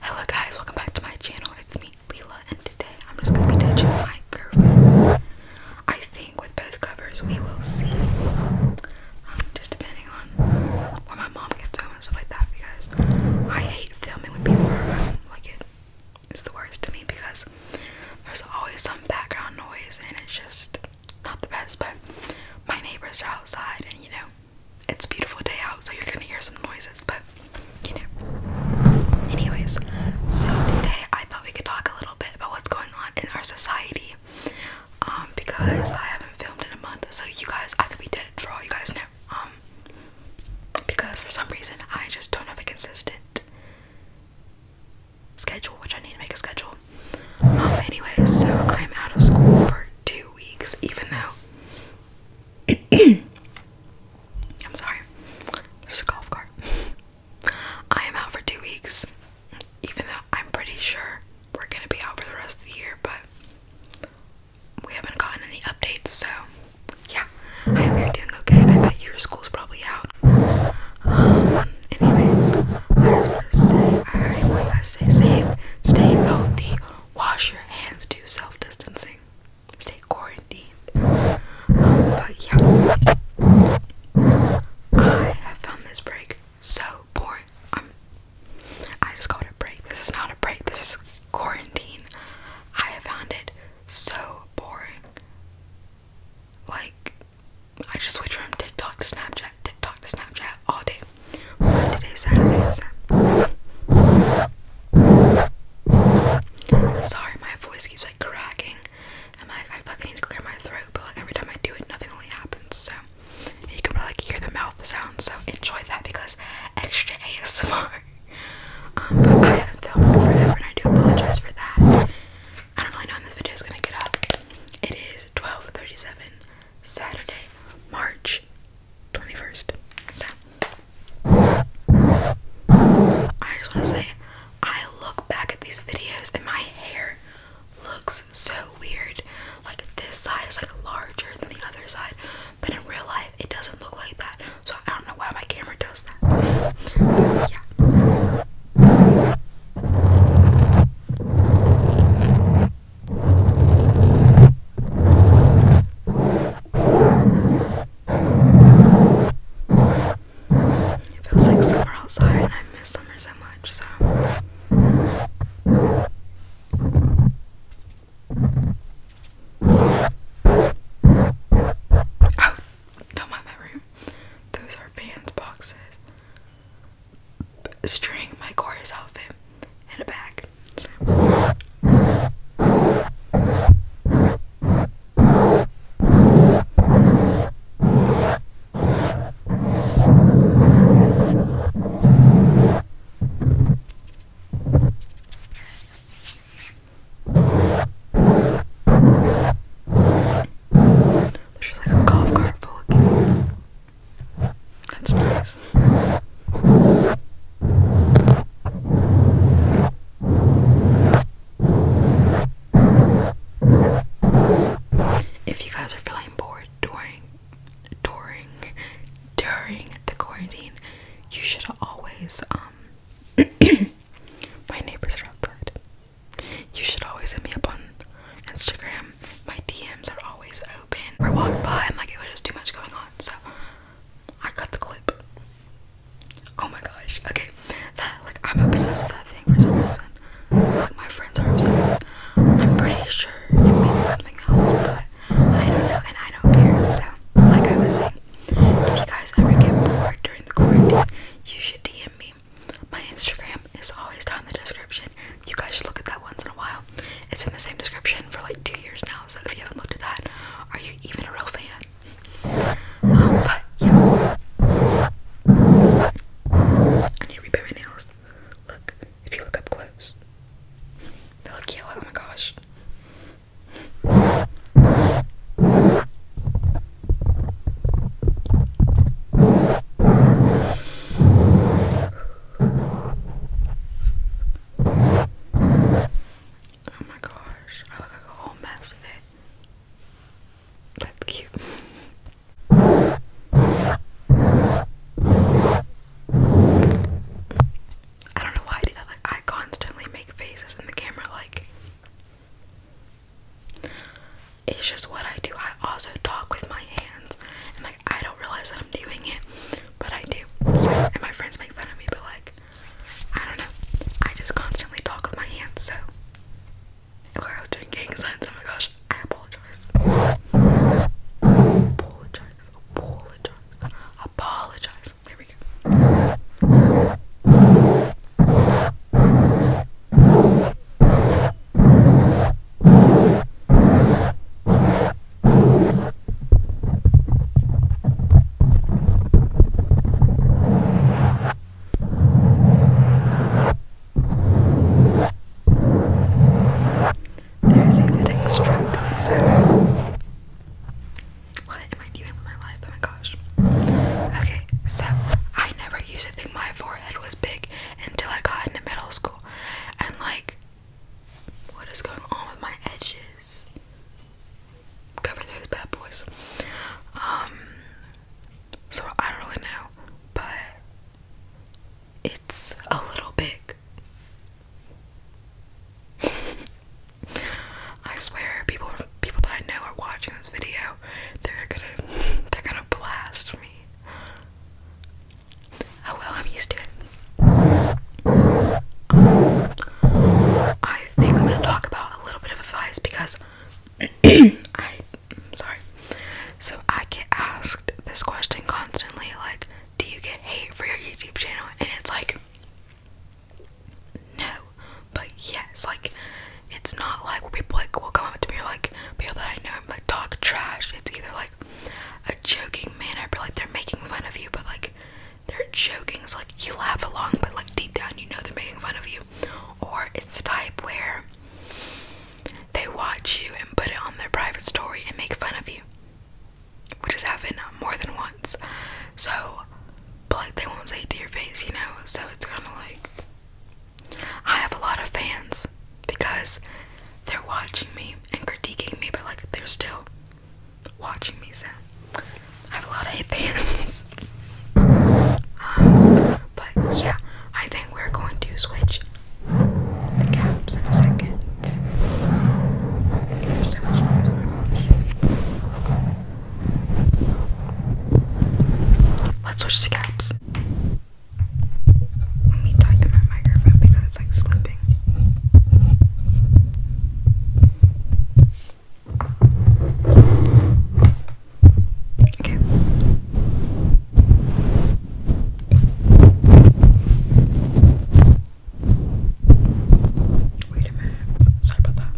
Hello guys, welcome back to my channel. It's me, Leela, and today I'm just gonna be touching my girlfriend. I think with both covers we will see. Um, just depending on where my mom gets home and stuff like that because I hate filming with people are Like it is the worst to me because there's always some background noise and it's just not the best, but my neighbors are outside and you know it's a beautiful day out, so you're gonna hear some noises, but you know. Anyways, so today I thought we could talk a little bit about what's going on in our society. Um, because I haven't filmed in a month, so you guys, I could be dead for all you guys know. Um, because for some reason I just don't have a consistent schedule, which I need to make a schedule. Um, anyways, so I'm out of school for two weeks, even though I'm sorry. There's a golf cart. I am out for two weeks, even though I'm pretty sure we're gonna be out for the rest of the year, but we haven't gotten any updates, so yeah. I hope you're doing okay. I bet your school's probably out. Um, anyways, I just want to say, I want you guys to stay safe, stay healthy wash your hands, do self distancing, stay quarantined. but yeah, I have found this break so boring. I'm, um, I just called it a break. This is not a break, this is quarantine. I have found it so boring. Like, I just switched from TikTok to Snapchat. TikTok to Snapchat all day. Today's Saturday. Sorry, my voice keeps like cracking. I'm like, I fucking need to clear my throat, but like every time I do it, nothing really happens. So you can probably like, hear the mouth sound. So enjoy that because extra ASMR. Um, but I haven't filmed in forever, and I do apologize for that. I don't really know when this video is gonna get up. It is 12:37. Saturday, March 21st. So, I just want to say, I look back at these videos and my hair looks so weird. Like, this side is like larger than the other side, but in real life, it doesn't look like that. So, I don't know why my camera does that. It feels like summer outside, and I miss summer so much. So. Oh, don't mind my room. Those are fans boxes string my chorus outfit in a bag. There's like a golf cart full of kids. That's nice. If you guys are feeling bored during during during the quarantine, you should always um my neighbors are outside. You should always hit me up on Instagram. My DMs are always open. We walked by and like it was just too much going on, so I cut the clip. Oh my gosh. Okay, that like I'm obsessed with that thing We're so reason. Like my friends are obsessed. I'm pretty sure it means something else, but I don't know and I don't care. So like I was saying, if you guys ever get bored during the quarantine, you should DM me my Instagram is always down in the description. You guys should look at that once in a while. It's in the same description for like two years now, so if you haven't looked at that, are you even a real fan? Um, I need to repair my nails. Look, if you look up close, they look yellow. Oh my gosh. Oh my gosh, I look like a whole mess today. That's cute. I don't know why I do that. Like I constantly make faces in the camera like it's just what I do. I also talk with my hands, and like I don't realize that I'm doing it, but I do. So, and my friends make fun of me, but like I don't know. I just constantly talk with my hands. So, look, I was doing gang signs. Oh my gosh, I apologize. Apologize. Apologize. Apologize. There we go. There's a fitting strap What am I doing with my life? Oh my gosh. Okay, so I never use think my forehead was big until I got into middle school. And like, what is going on with my edges? Cover those bad boys. Um, so I don't really know, but it's a little big. I swear, people people that I know are watching this video, they're gonna they're gonna blast me. Oh well, I'm used to it. I think I'm gonna talk about a little bit of advice because I sorry. So I get asked this question constantly, like, do you get hate for your YouTube channel? And it's like no, but yes, like it's not like where people like will come up to me or like people that I know I'm like talk trash. It's either like a joking manner, but like they're making fun of you, but like they're joking. So like you laugh along, but like deep down you know they're making fun of you. Or it's the type where they watch you and put it on their private story and make fun of you, which has happened more than once. So but like they won't say it to your face, you know? So it's kind of like I have a lot of fans because they're watching me and critiquing me, but like they're still watching me. So I have a lot of fans. Um, but yeah, I think we're going to switch the caps in a second. Let's switch to caps. Let me talk to my microphone because it's like slipping. Okay. Wait a minute. Sorry about that.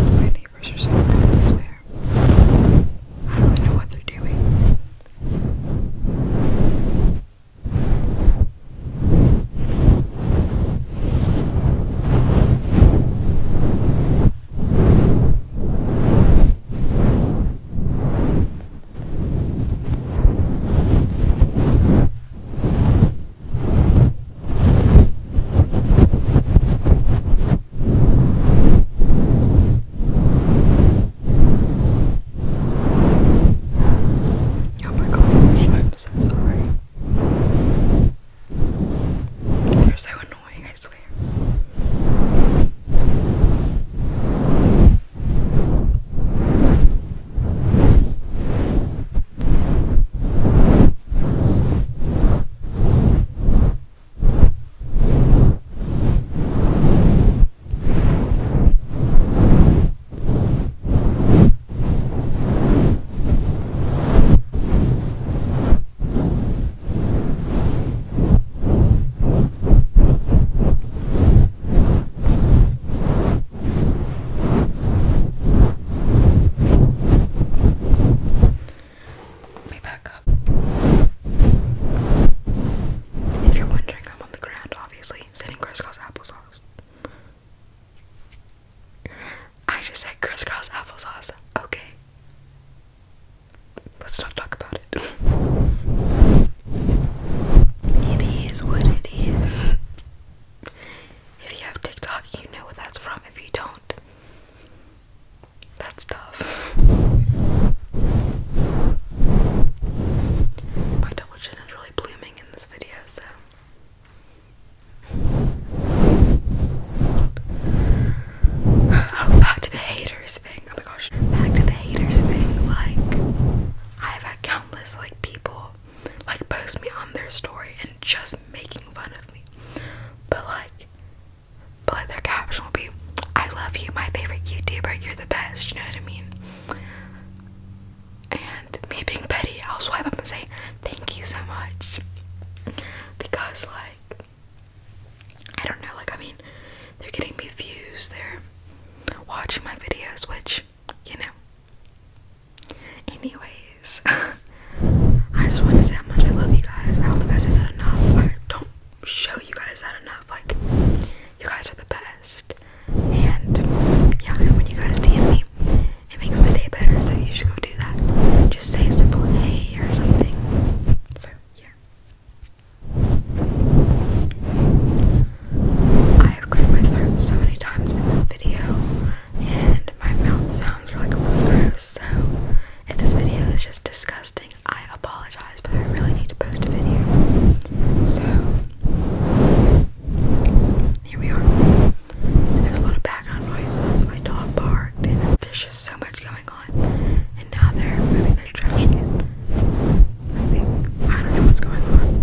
My I swear. I don't know what they're doing. Oh my gosh, I'm so sorry. You're so annoying, I swear. Let me back up. If you're wondering, I'm on the ground, obviously, sitting crisscross applesauce. I just said crisscross applesauce. Okay. Let's not talk about it. It is what it is. If you have TikTok, you know what that's from. If you don't, that's tough. My double is really blooming in this video, so oh, back to the haters thing. Oh my gosh, back to the haters thing. Like, I've had countless like people like post me on their story and just making fun of me, but like, but like their caption will be, "I love you, my favorite YouTuber. You're the best." You know what I mean? And me being petty, I'll swipe up and say, Thank you so much. Because, like, I don't know, like, I mean, they're getting me views, they're watching my videos, which, you know. Anyways, I just want to say how much I love you guys. I don't think I said that enough. I don't show you guys that enough. Like, you guys are the best. And yeah, when you guys DM me, it makes my day better, so you should go do that. Just say a simple hey or something. So yeah. I have cleared my throat so many times in this video, and my mouth sounds like really gross, so if this video is just disgusting, I apologize but I really need to post a video. So, here we are. there's a lot of background noises. My dog barked, there's just so much going on. And now they're moving their trash again. I I don't know what's going on.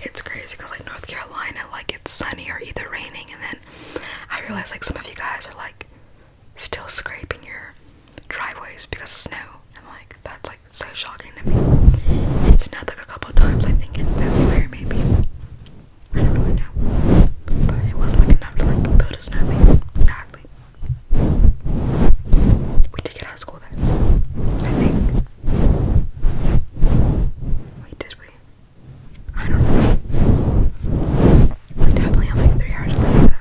It's crazy because like North Carolina, like it's sunny or either raining, and then I realize like some of you guys are like still scraping your driveways because of snow. I'm like, that's like so shocking to me. It snowed like a couple times, I think in February maybe. I don't really know, but it wasn't like enough to like build a snowman exactly. We did get of school beds, I think. Wait, did we? I don't know. We definitely have like three hours left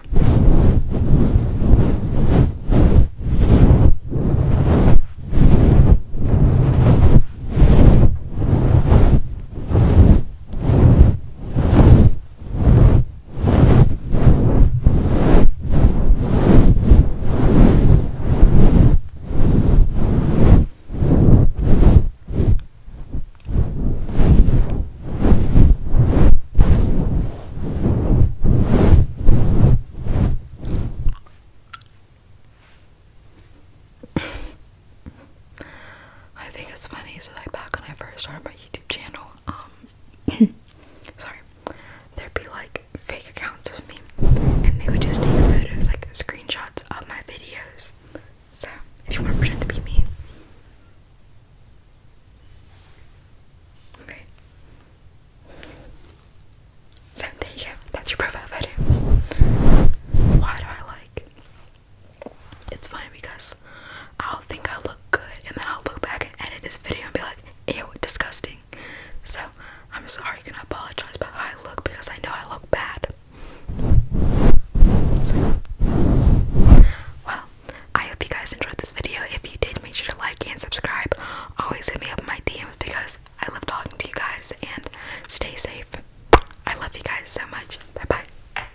I think it's funny. So, like back when I first started my YouTube channel, um sorry there'd be like fake accounts of me and they would just take photos like screenshots of my videos so if you want to pretend to be me okay so there you go that's your profile photo why do I like it's funny because I'll think I look good and then I'll look back and edit this video and be like, ew, disgusting. So I'm sorry, gonna apologize but I look because I know I look bad. well, I hope you guys enjoyed this video. If you did, make sure to like and subscribe. Always hit me up in my DMs because I love talking to you guys and stay safe. I love you guys so much. Bye bye.